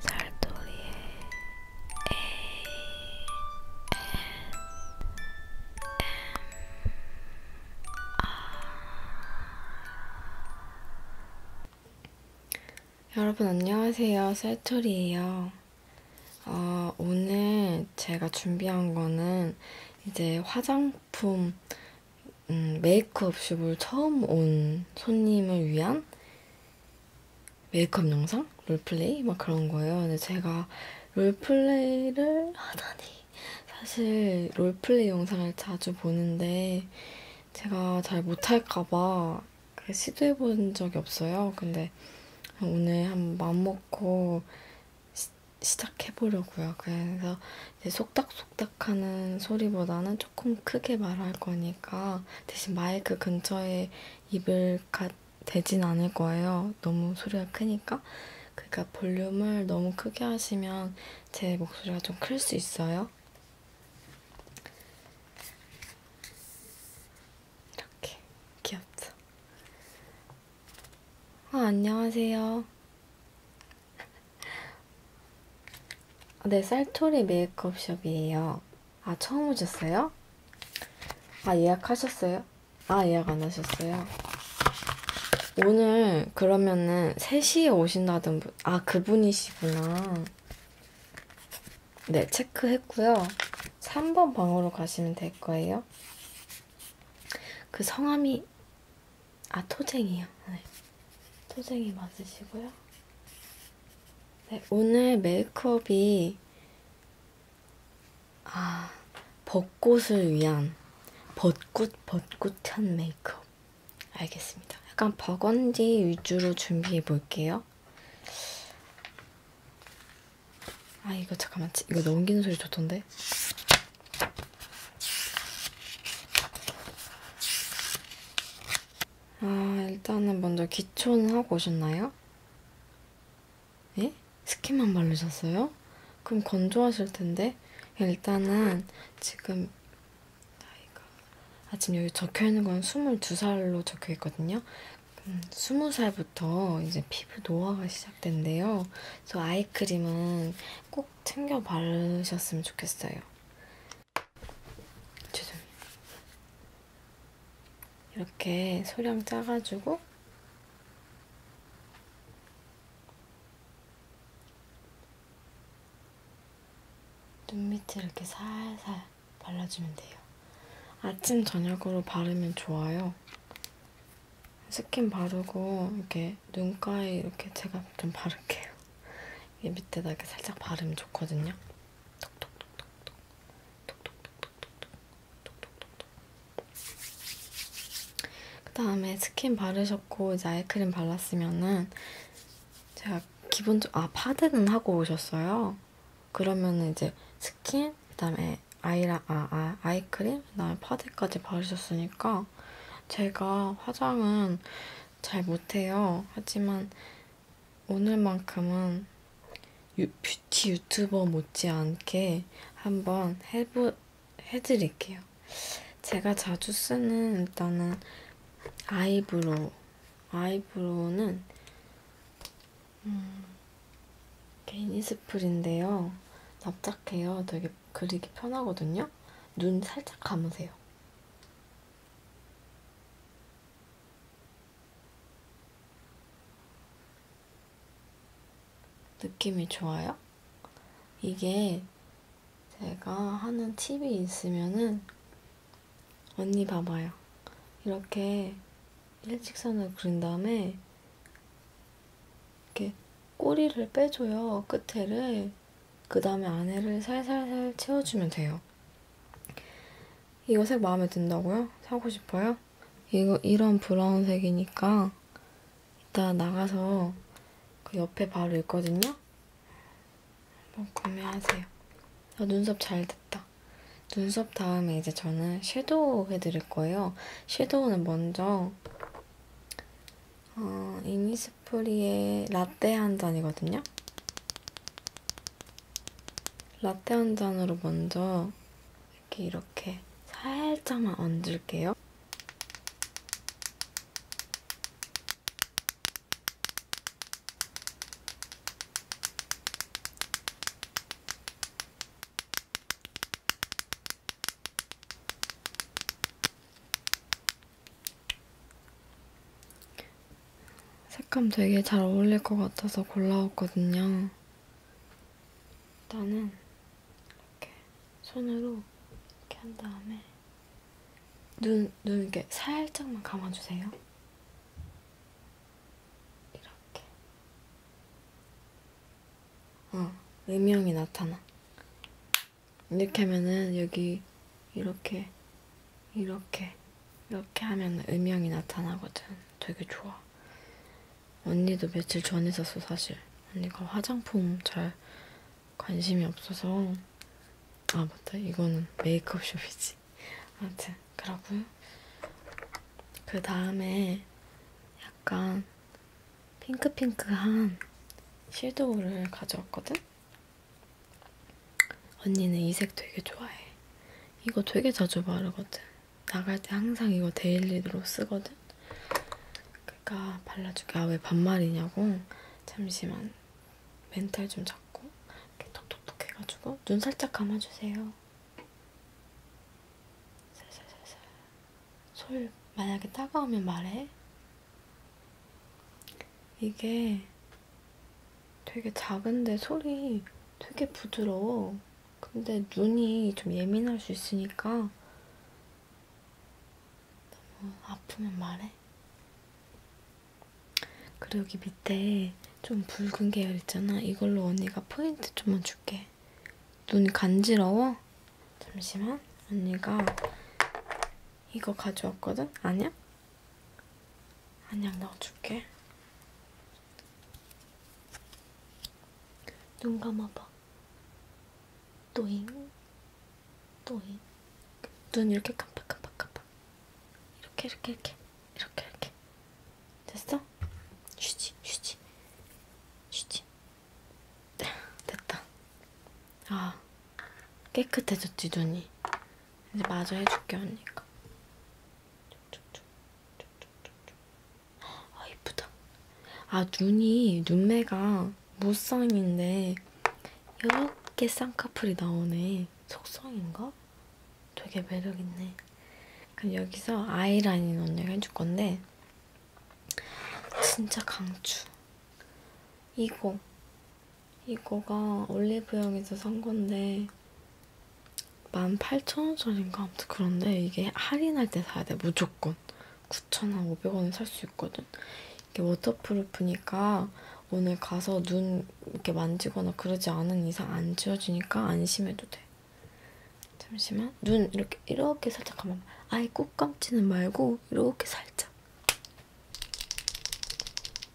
살돌이의 ASMR 여러분 안녕하세요 살돌이에요 어, 오늘 제가 준비한 거는 이제 화장품 음, 메이크업숍을 처음 온 손님을 위한 메이크업 영상? 롤플레이? 막 그런 거예요. 근데 제가 롤플레이를 하다니. 사실 롤플레이 영상을 자주 보는데 제가 잘 못할까봐 시도해본 적이 없어요. 근데 오늘 한 맘먹고 시작해보려고요. 그래서 속닥속닥 하는 소리보다는 조금 크게 말할 거니까 대신 마이크 근처에 입을 가, 대진 않을 거예요. 너무 소리가 크니까. 그러니까 볼륨을 너무 크게 하시면 제 목소리가 좀 클 수 있어요. 이렇게 귀엽죠? 아, 안녕하세요. 네, 쌀초리 메이크업숍이에요. 아, 처음 오셨어요? 아, 예약하셨어요? 아, 예약 안 하셨어요? 오늘 그러면은 3시에 오신다던 분, 아, 그분이시구나. 네, 체크했고요. 3번 방으로 가시면 될 거예요. 그 성함이, 아, 토쟁이요. 네. 토쟁이 맞으시고요. 네, 오늘 메이크업이 아, 벚꽃을 위한 벚꽃 벚꽃한 메이크업 알겠습니다. 약간 버건디 위주로 준비해 볼게요. 아 이거 잠깐만 이거 넘기는 소리 좋던데? 아, 일단은 먼저 기초는 하고 오셨나요? 예? 스킨만 바르셨어요? 그럼 건조하실 텐데 일단은 지금 나이가 아 지금 여기 적혀있는 건 22살로 적혀있거든요 음, 20살부터 이제 피부 노화가 시작된대요 그래서 아이크림은 꼭 챙겨 바르셨으면 좋겠어요 죄송해요. 이렇게 소량 짜가지고 눈 밑에 이렇게 살살 발라주면 돼요. 아침 저녁으로 바르면 좋아요. 스킨 바르고 이렇게 눈가에 이렇게 제가 좀 바를게요. 이 밑에다 이렇게 살짝 바르면 좋거든요. 그 다음에 스킨 바르셨고 이제 아이크림 발랐으면은 제가 기본적 아 파데는 하고 오셨어요. 그러면은 이제 스킨 그다음에 아이라 아, 아 아이크림 그다음에 파데까지 바르셨으니까 제가 화장은 잘 못해요. 하지만 오늘만큼은 유, 뷰티 유튜버 못지않게 한번 해보, 해드릴게요. 제가 자주 쓰는 일단은 아이브로우. 아이브로우는 음, 게이니스프린데요. 납작해요. 되게 그리기 편하거든요. 눈 살짝 감으세요. 느낌이 좋아요? 이게 제가 하는 팁이 있으면은 언니 봐봐요. 이렇게 일직선을 그린 다음에 이렇게 꼬리를 빼줘요. 끝에를. 그 다음에 안에를 살살살 채워주면 돼요. 이거 색 마음에 든다고요? 사고 싶어요? 이거 이런 브라운 색이니까 이따 나가서 그 옆에 바로 있거든요? 한번 구매하세요. 아, 눈썹 잘 됐다. 눈썹 다음에 이제 저는 섀도우 해드릴 거예요. 섀도우는 먼저 어, 이니스프리의 라떼 한 잔이거든요. 라떼 한 잔으로 먼저 이렇게 이렇게 살짝만 얹을게요. 색감 되게 잘 어울릴 것 같아서 골라왔거든요. 일단은 이렇게 손으로 이렇게 한 다음에 눈, 눈 이렇게 살짝만 감아주세요. 이렇게. 어, 음영이 나타나. 이렇게 하면은 여기 이렇게 이렇게 이렇게 하면 음영이 나타나거든. 되게 좋아. 언니도 며칠 전에 샀어 사실. 언니가 화장품 잘 관심이 없어서 아 맞다 이거는 메이크업 숍이지. 아무튼 그러고요. 그 다음에 약간 핑크핑크한 섀도우를 가져왔거든? 언니는 이 색 되게 좋아해. 이거 되게 자주 바르거든. 나갈 때 항상 이거 데일리로 쓰거든. 그러니까 발라줄게. 아, 왜 반말이냐고. 잠시만. 멘탈 좀 잡고. 이렇게 톡톡톡 해가지고. 눈 살짝 감아주세요. 살살살살. 솔, 만약에 따가우면 말해. 이게 되게 작은데 소리 되게 부드러워. 근데 눈이 좀 예민할 수 있으니까 너무 아프면 말해. 그리고 여기 밑에 좀 붉은 계열 있잖아. 이걸로 언니가 포인트 좀만 줄게. 눈 간지러워? 잠시만. 언니가 이거 가져왔거든? 아니야? 한약 넣어줄게. 눈 감아봐. 또잉, 또잉. 눈 이렇게 깜빡깜빡 깜빡. 이렇게 이렇게 이렇게 이렇게 이렇게. 됐어? 쉬지 쉬지 쉬지. 됐다. 아 깨끗해졌지 눈이. 이제 마저 해줄게 언니가. 아 이쁘다. 아 눈이 눈매가 무쌍인데 이렇게 쌍꺼풀이 나오네. 속성인가? 되게 매력있네. 그럼 여기서 아이라인 언니가 해줄 건데 진짜 강추. 이거 이거가 올리브영에서 산 건데 18,000원짜리인가 아무튼 그런데 이게 할인할 때 사야 돼 무조건 9,000원, 500원에 살 수 있거든 이게 워터프루프니까 오늘 가서 눈 이렇게 만지거나 그러지 않은 이상 안 지워지니까 안심해도 돼 잠시만 눈 이렇게 이렇게 살짝 감아 아예 꼭 감지는 말고 이렇게 살짝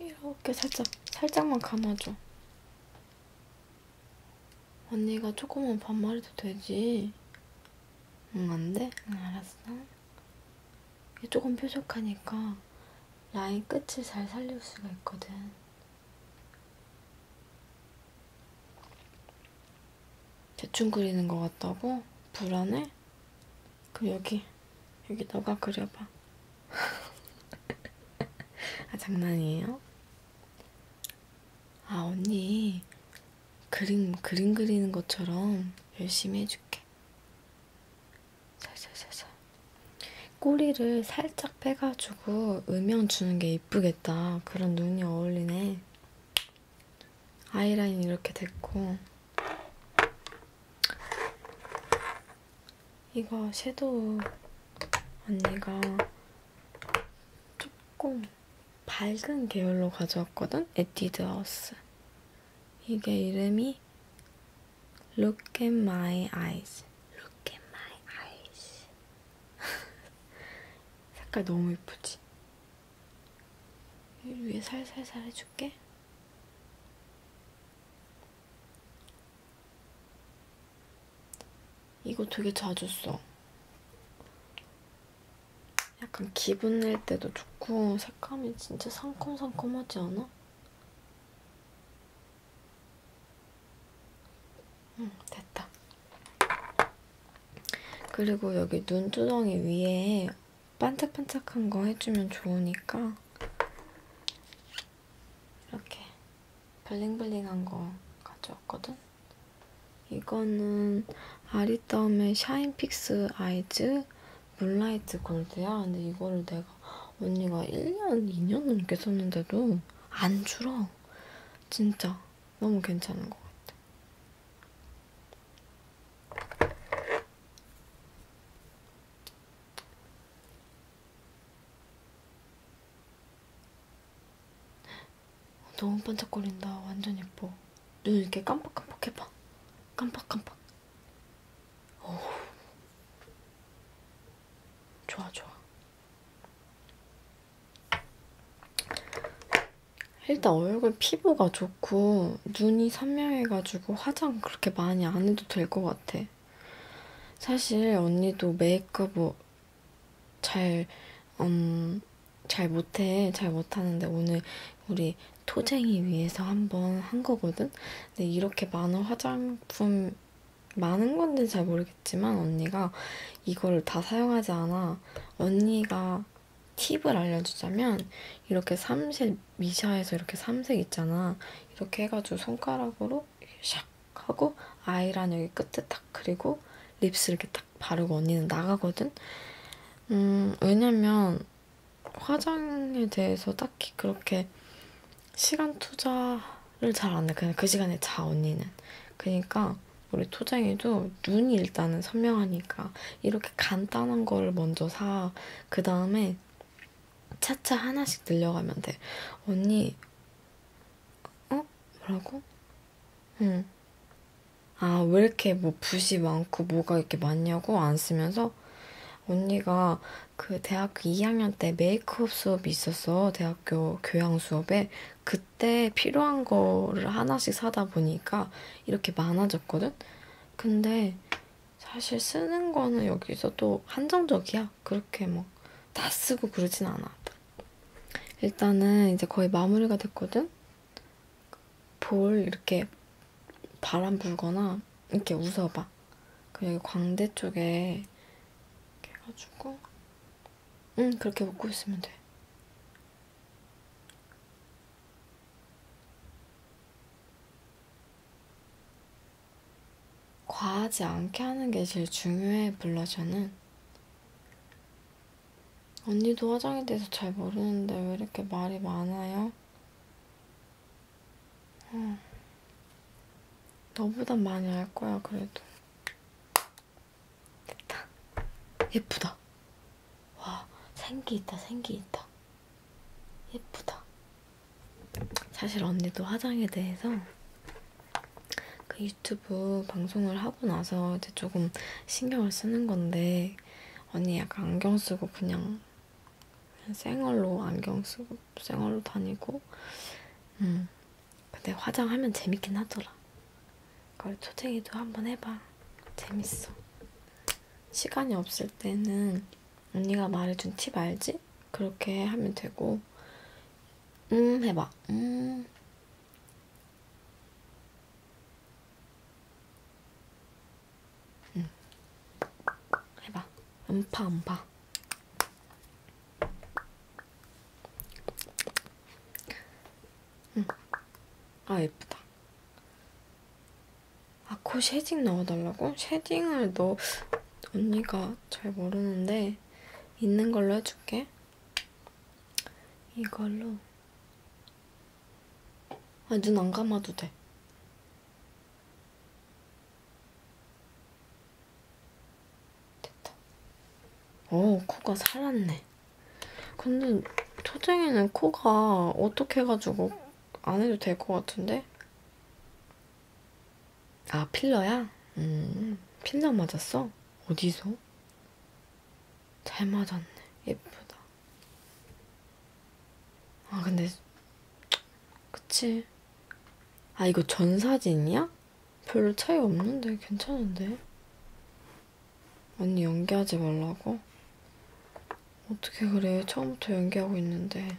이렇게 살짝 살짝만 감아줘 언니가 조금만 반말해도 되지. 응, 안 돼? 응, 알았어. 조금 뾰족하니까 라인 끝을 잘 살릴 수가 있거든. 대충 그리는 것 같다고? 불안해? 그럼 여기 여기 너가 그려봐. 아, 장난이에요? 아, 언니. 그림, 그림 그리는 것처럼 열심히 해줄게. 살살살살. 꼬리를 살짝 빼가지고 음영 주는 게 이쁘겠다. 그런 눈이 어울리네. 아이라인 이렇게 됐고. 이거 섀도우 언니가 조금 밝은 계열로 가져왔거든? 에뛰드 하우스. 이게 이름이 Look at my eyes. Look at my eyes. 색깔 너무 예쁘지? 위에 살살살 해줄게. 이거 되게 자주 써. 약간 기분 낼 때도 좋고 색감이 진짜 상콤상콤하지 않아? 응, 됐다. 그리고 여기 눈두덩이 위에 반짝반짝한 거 해주면 좋으니까 이렇게 블링블링한 거 가져왔거든? 이거는 아리따움의 샤인픽스 아이즈 물라이트 골드야. 근데 이거를 내가 언니가 1년, 2년 넘게 썼는데도 안 줄어. 진짜 너무 괜찮은 것 같아. 너무 반짝거린다. 완전 예뻐. 눈 이렇게 깜빡깜빡 해봐. 깜빡깜빡. 어우. 좋아, 좋아. 일단 얼굴 피부가 좋고 눈이 선명해가지고 화장 그렇게 많이 안 해도 될 것 같아. 사실 언니도 메이크업 잘, 음, 잘 못해. 잘 못하는데 오늘 우리 토쟁이 위해서 한 번 한 거거든? 근데 이렇게 많은 화장품, 많은 건지 잘 모르겠지만 언니가 이걸 다 사용하지 않아. 언니가 팁을 알려주자면 이렇게 삼색 미샤에서 이렇게 삼색 있잖아 이렇게 해가지고 손가락으로 샥 하고 아이란 여기 끝에 딱 그리고 립스 이렇게 딱 바르고 언니는 나가거든? 음, 왜냐면 화장에 대해서 딱히 그렇게 시간 투자를 잘 안 해. 그냥 그 시간에 자, 언니는. 그니까 우리 토쟁이도 눈이 일단은 선명하니까 이렇게 간단한 거를 먼저 사. 그 다음에 차차 하나씩 늘려가면 돼. 언니, 어? 뭐라고? 응. 아, 왜 이렇게 뭐 붓이 많고 뭐가 이렇게 많냐고 안 쓰면서 언니가 그 대학교 2학년 때 메이크업 수업이 있었어. 대학교 교양 수업에. 그때 필요한 거를 하나씩 사다 보니까 이렇게 많아졌거든? 근데 사실 쓰는 거는 여기서도 한정적이야. 그렇게 막다 뭐 쓰고 그러진 않아. 일단은 이제 거의 마무리가 됐거든? 볼 이렇게 바람 불거나 이렇게 웃어봐. 그리고 광대 쪽에 이렇게 해가지고 응 그렇게 웃고 있으면 돼. 과하지 않게 하는 게 제일 중요해, 블러셔는. 언니도 화장에 대해서 잘 모르는데 왜 이렇게 말이 많아요? 어. 너보단 많이 알 거야, 그래도. 됐다. 예쁘다. 와, 생기 있다, 생기 있다. 예쁘다. 사실 언니도 화장에 대해서 그 유튜브 방송을 하고 나서 이제 조금 신경을 쓰는 건데 언니 약간 안경 쓰고 그냥 쌩얼로 안경 쓰고 쌩얼로 다니고 음 근데 화장하면 재밌긴 하더라. 그걸 초생이도 한번 해봐. 재밌어. 시간이 없을 때는 언니가 말해준 팁 알지? 그렇게 하면 되고 음 해봐 음 음. 해봐 음파 음파 음. 아 예쁘다 아 코 쉐딩 넣어달라고? 쉐딩을 넣... 언니가 잘 모르는데 있는 걸로 해줄게. 이걸로. 아, 눈안 감아도 돼. 됐다. 오, 코가 살았네. 근데 초쟁이는 코가 어떻게 해가지고 안 해도 될 것 같은데? 아, 필러야? 음, 필러 맞았어? 어디서? 잘 맞았네. 예쁘다. 아, 근데, 그치. 아, 이거 전 사진이야? 별로 차이 없는데, 괜찮은데? 언니 연기하지 말라고? 어떻게 그래? 처음부터 연기하고 있는데.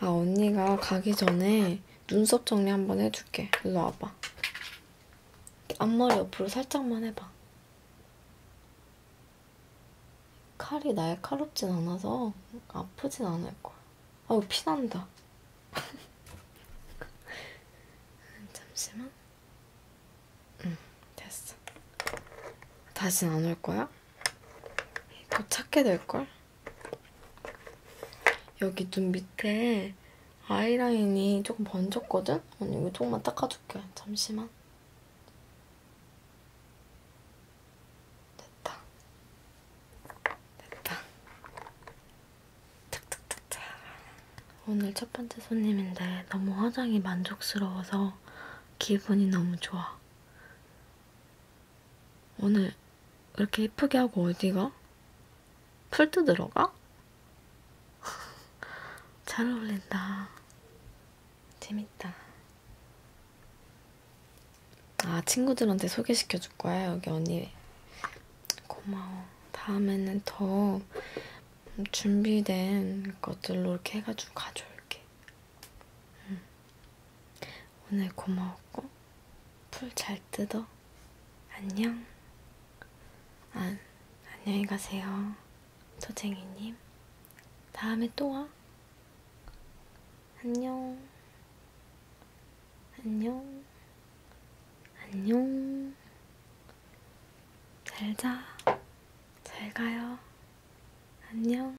아, 언니가 가기 전에 눈썹 정리 한번 해줄게. 일로 와봐. 앞머리 옆으로 살짝만 해봐. 칼이 날카롭진 않아서 아프진 않을 거야. 아우, 피난다. 잠시만. 응, 됐어. 다신 안 올 거야? 더 찾게 될걸? 여기 눈 밑에 아이라인이 조금 번졌거든? 언니 이거 조금만 닦아줄게. 잠시만. 됐다. 됐다. 탁탁탁탁. 오늘 첫 번째 손님인데 너무 화장이 만족스러워서 기분이 너무 좋아. 오늘 이렇게 예쁘게 하고 어디가? 풀도 들어가? 잘 어울린다. 재밌다. 아, 친구들한테 소개시켜 줄 거야, 여기 언니. 고마워. 다음에는 더 준비된 것들로 이렇게 해가지고 가져올게. 응. 오늘 고마웠고 풀 잘 뜯어. 안녕. 안, 아, 안녕히 가세요. 토쟁이님. 다음에 또 와. 안녕. 안녕. 안녕. 잘 자. 잘 가요. 안녕.